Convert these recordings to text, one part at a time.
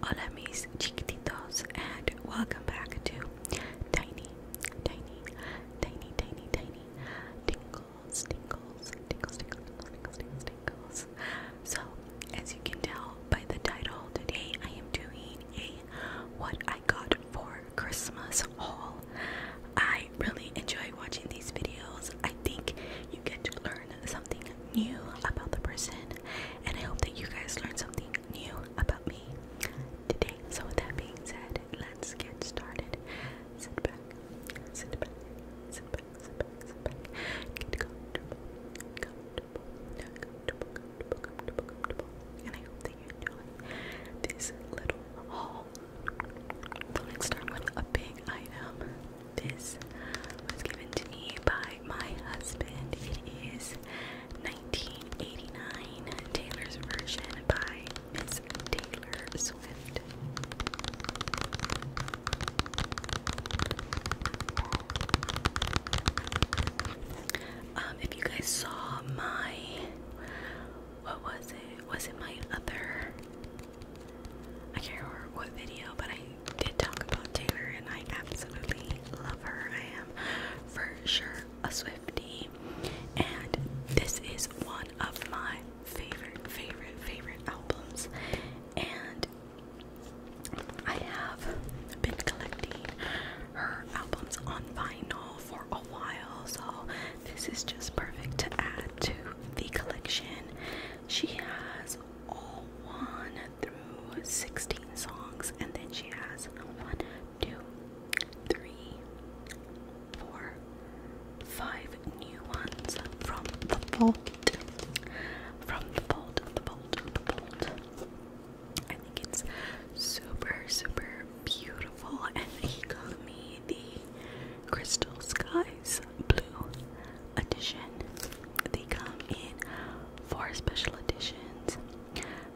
Hola mis chiquititos and welcome back to Tiny, Tiny, Tiny, Tiny, Tiny Tingles, Tingles, Tingles, Tingles, Tingles, Tingles, So, as you can tell by the title, today I am doing a what I got for our Christmas haul. I really enjoy watching these videos. I think you get to learn something new about the person, and I hope that you guys learned something new about me today. So, with that being said, let's get started. Sit back, sit back, sit back, sit back, sit back. Get comfortable, comfortable, comfortable, comfortable, comfortable, comfortable. And I hope this little haul. let's start with a big item. This was given to me by my husband. It is 1989 Taylor's version by Miss Taylor Swift. Um, if you guys saw my what was it? Was it my other? I can't remember what video, but I did talk about Taylor and I absolutely love her. I am for sure a Swiftie, and this is one of my favorite, favorite, favorite albums. And I have been collecting her albums on vinyl for a while, so this is just perfect to add to the collection. She has all one through 16 songs, and then she has one, two, three, four, five new ones from the vault. From the vault, the vault, the vault. I think it's super, super beautiful, and he the Crystal Skies Blue Edition. They come in four special editions.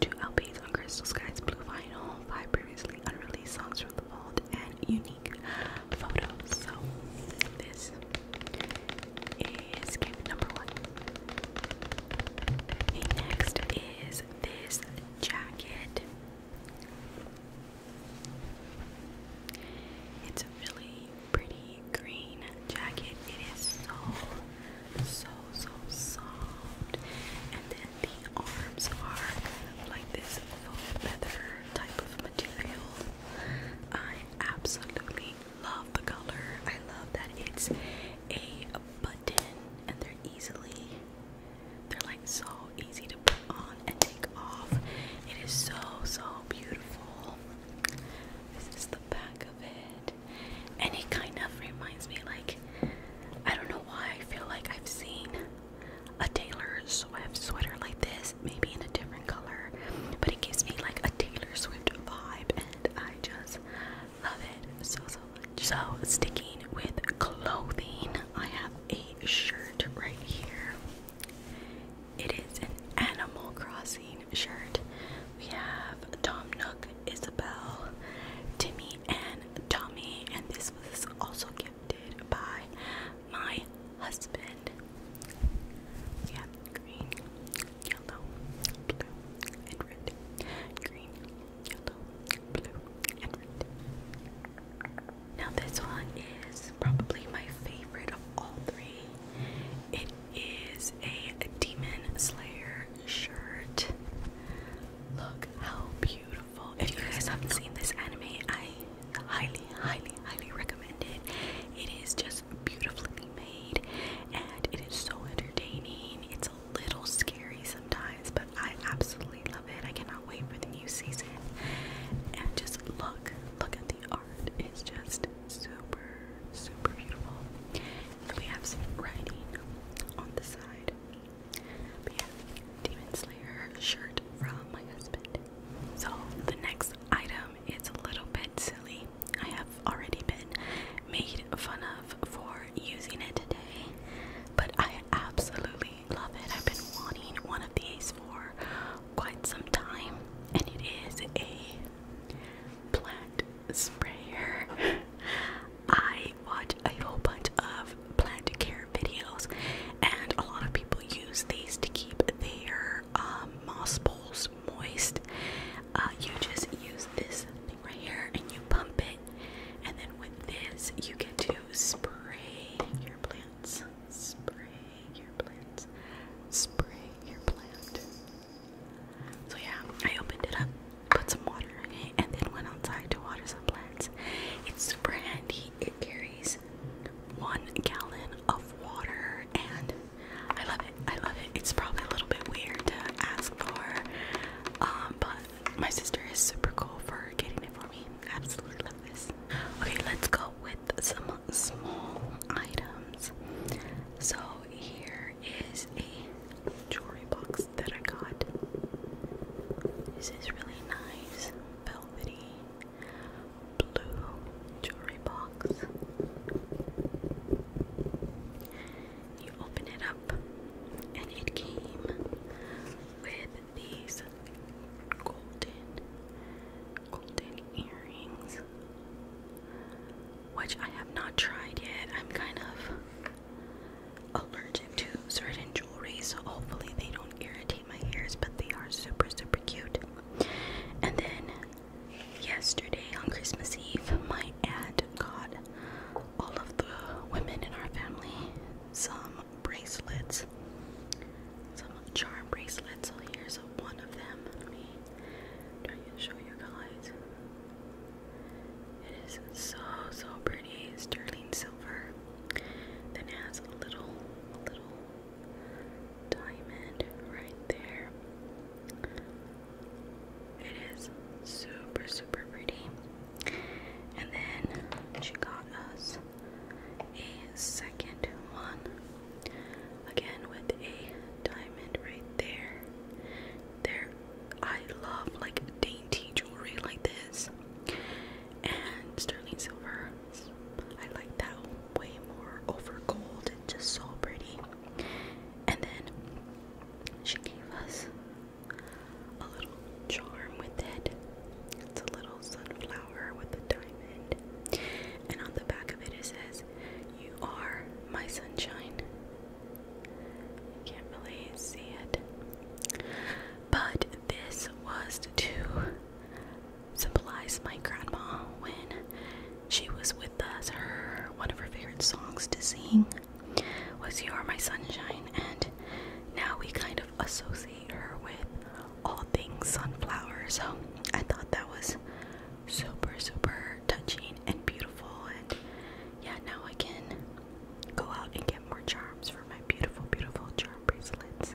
Two LPs on Crystal Skies Blue Vinyl, five previously unreleased songs from the vault, and unique photos. So this is gift number one. next is this jacket. It's a really pretty green jacket. It is so, so, so soft. And then the arms are like this faux leather type of material. I absolutely love the color. I love that it's a button and they're easily they're like so easy to put on and take off. It is so, so beautiful. This is the back of it. And it kind of reminds me, like, I don't know why I feel like I've seen a Taylor Swift sweater like this, maybe in a different color, but it gives me like a Taylor Swift vibe, and I just love it so, so so sticking with clothing, I have a shirt right here. It is an Animal Crossing shirt. We have Tom Nook, Isabel, Timmy, and Tommy, and this was also gifted by my husband. We green, yellow, blue, and red. Green, yellow, blue, and red. Now this one is probably my favorite of all three. It is a Demon Slayer shirt. Look how beautiful. If you guys haven't seen this anime, I highly, highly, highly recommend it. It is just beautifully made and it is so entertaining a little scary sometimes, but I absolutely love it. I cannot wait for the new season. And just look, look at the art. It's just super, super beautiful. And we have some writing on the side. But yeah, Demon Slayer shirt from my husband. So the next item is a little bit silly. I have already been made fun of for using it today, but I absolutely love it. I've been wanting one of these for quite some time, and it is a plant sprayer. I watch a whole bunch of plant care videos, and a lot of people use these to keep their um, moss balls moist. Uh, you just use this thing right here, and you pump it, and then with this, you get to spray your plants. Spray your plants. Spray your plant. So yeah, I opened it up, put some water in it, and then went outside to water some plants. It's super handy. It carries one gallon of water, and I love it. I love it. It's probably a little bit weird to ask for, um, but my sister is super cool for getting it for me. I absolutely love this. Okay, let's go with some small items. So here is a jewelry box that I got. This is really nice, velvety blue jewelry box you open it up, and it came with these golden, golden earrings, which I have not tried yet. I'm kind of allergic to certain jewelry, so hopefully they don't irritate my ears, but they are super, super cute. And then yesterday on Christmas Eve, my aunt got all of the women in our family some bracelets, some charm bracelets. So oh, here's one of them. Let me try to show you guys. It is so so pretty, sterling silver. Then it has a little, a little diamond right there. It is super super pretty. And then she got us a second one. Again with a diamond right there. There I love like dainty jewelry like this. And sterling silver. I like that way more over gold. It's just so pretty. And then she gave us a little charm with it. It's a little sunflower with a diamond. And on the back of it, it says, You are my sunshine. can't really see it. But this was to symbolize my grandma when she was with us. Her one of her favorite songs to sing was You Are My Sunshine, and now we kind of associate her with all things sunflower. So I thought that was super, super touching and beautiful. And yeah, now I can go out and get more charms for my beautiful, beautiful charm bracelets.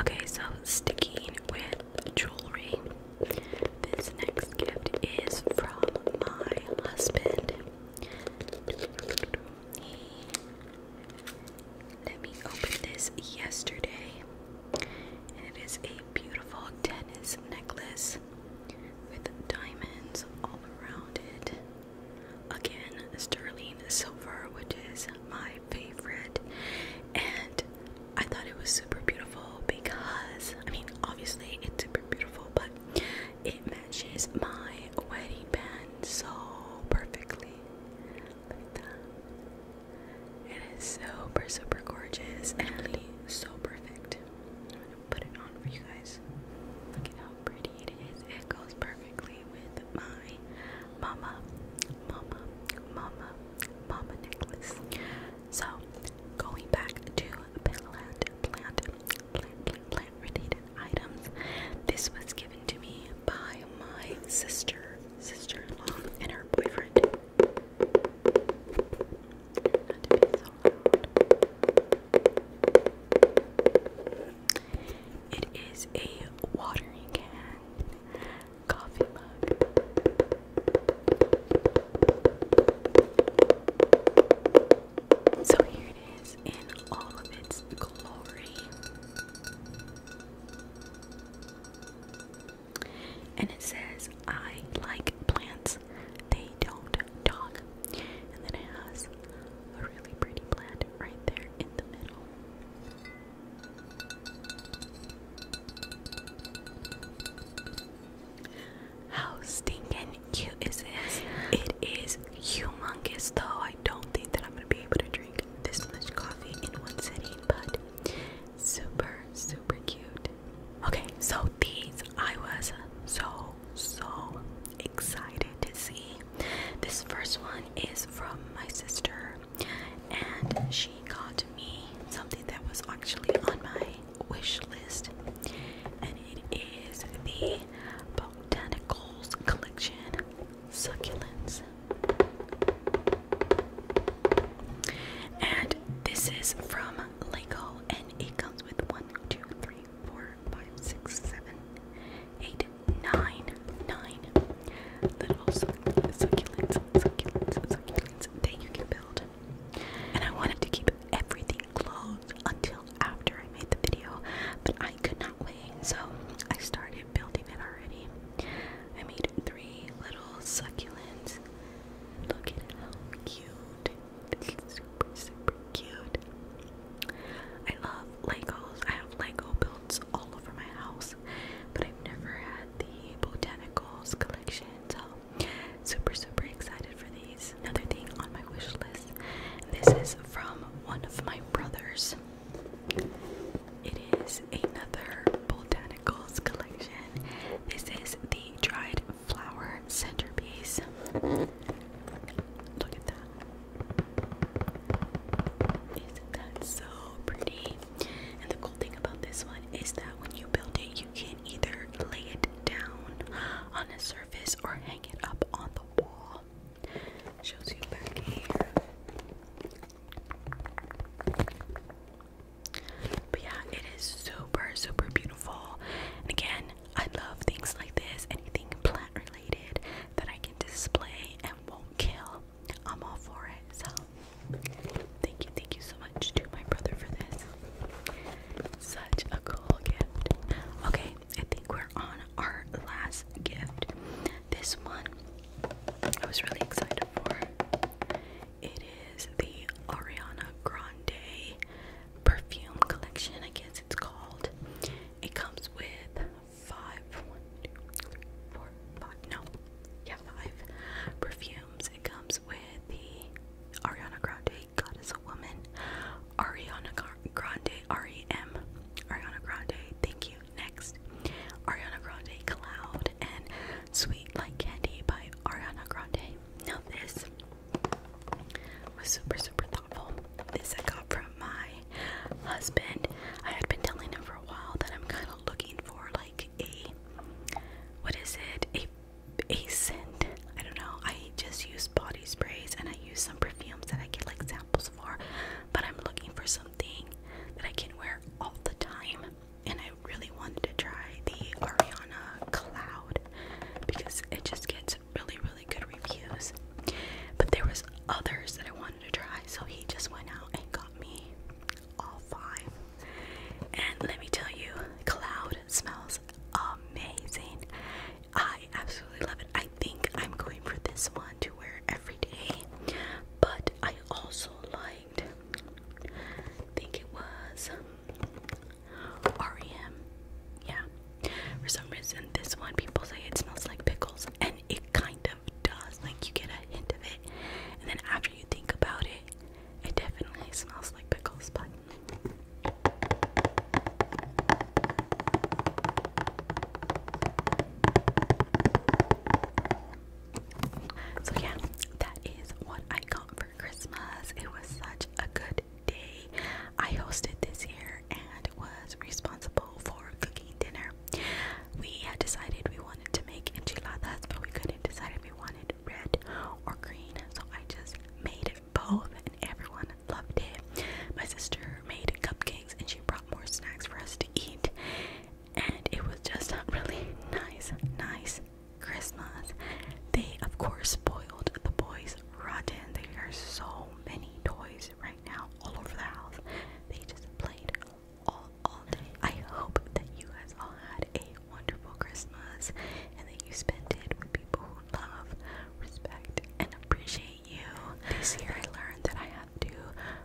Okay, so sticking with jewelry, this next gift is from my husband. Let me open this yesterday, and it is a beautiful tennis necklace with diamonds all around it. Again, sterling silver, which is my favorite, and I thought it was super beautiful because I mean, obviously, it's super beautiful, but it matches my wedding band so perfectly. Look at that. It is super, super gorgeous and really so perfect. I'm gonna put it on for you guys. Look at how pretty it is. It goes perfectly with my mama, mama, mama, mama necklace. So, going back to Plant Plant plant, related items. This was given to me by my sister, sister-in-law, and her boyfriend. It is a watering can, coffee mug. So here it is in all of its glory. And it says, I like plants, they don't talk. And then it has a really pretty plant right there in the middle. How stinking cute is this? It is humongous, though. I don't think that I'm gonna be able to drink this much coffee in one sitting, but super, super cute. Okay, so these I was so, so excited to see. This first one is from my sister, and she got me something that was actually on my wish list, and it is the Botanicals Collection Succulents. And this is from Lego, and it comes with one, two, three, four, five, six, seven, eight, nine, nine little succulents, succulents, succulents, succulents that you can build. And I wanted to keep everything closed until after I made the video, but I could not wait, so I started building it already. I made three little succulents. Look at how cute. It's super, super cute. I love Legos. I have Lego builds all over my house, but I've never had the botanicals collection, Super, super excited for these. Another thing on my wish list. This is from one of my brothers. It is another botanicals collection. This is the dried flower centerpiece. Look at that. Isn't that so pretty? And the cool thing about this one is that when you build it, you can either lay it down on a surface or hang it up on the wall. Shows you back here. But yeah, it is super, super beautiful. again, I love things like this, anything plant related that I can display and won't kill. I'm all for it. So, thank you, thank you so much to my brother for this. Such a cool gift. Okay, I think we're on our last gift. This one I was really excited for. It is the Ariana Grande perfume collection, I guess it's called. It comes with five, one, two, three, four, five, no, yeah, five perfumes. It comes with the Ariana Grande god is a woman. Ariana Grande, R-E-M, Ariana Grande, thank you. Next, Ariana Grande Cloud and Sweet Like Candy by Ariana Grande. Now this was super super thoughtful. This I got from my husband. I had been telling him for a while that I'm kind of looking for like a what is it? A Ascent. I don't know. I just use body sprays and I use some perfumes that I get like samples for, but I'm looking for something that I can wear all the time. And I really wanted to try the Ariana Cloud because it just gets really, really good reviews. But there was others that I wanted to try, so he just went out and got me all five. And let me tell you, Cloud it smells amazing. I absolutely love it. I think I'm going for this one to wear every day. But I also liked, I think it was um, REM. Yeah. For some reason, this one people say it smells like pickles, and it kind of does. Like you get a hint of it, and then after you think about it, it definitely smells like pickles, but so yeah, that is what I got for Christmas. It was such a good day. I hosted this year and was responsible for cooking dinner. We had decided we wanted to make enchiladas, but we couldn't decide if we wanted red, or green. So I just made both, and everyone loved it. My sister made cupcakes, and she brought more snacks for us to eat. And it was just a really nice, nice Christmas. They, of course, spoiled the boys rotten. There are so many toys right now all over the house. They just played all all day. I hope that you guys all had a wonderful Christmas and that you spent it with people who love, respect, and appreciate you. This year I learned that I have to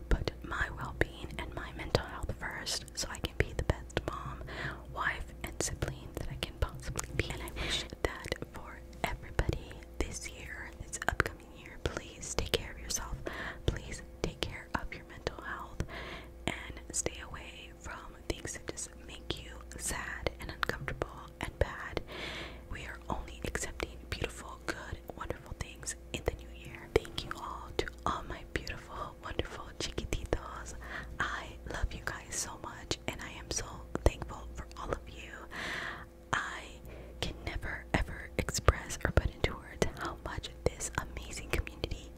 put my well being and my mental health first so I can be the best mom, wife, and sibling that I can possibly be. And I wish that for everybody this year, this upcoming year, please take care of yourself. Please take care of your mental health and stay away from things that just make you sad and uncomfortable and bad. We are only accepting beautiful, good, wonderful things in the new year. Thank you all to all my beautiful, wonderful chiquititos. I love you guys so much and I am so thankful for all of you. I can never ever express or put into words how much much this amazing community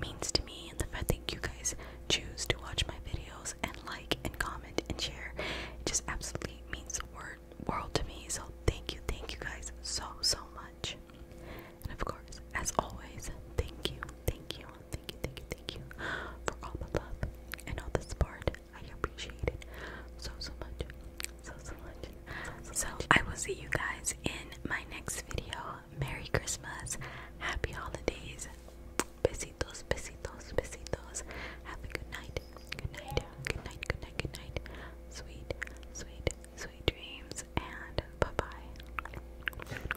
means to me and the fact that you guys choose to watch my videos and like and comment and share. It just absolutely means the word world to me. So thank you, thank you guys so so much. And of course, as always, thank you, thank you, thank you, thank you, thank you for all the love and all the support. I appreciate it so so much. So so much. So, so much. I will see you guys in my next video. Merry Christmas, Happy Holidays, besitos, besitos, besitos. Have a good night, good night, good night, good night, good night. Sweet, sweet, sweet dreams, and bye bye.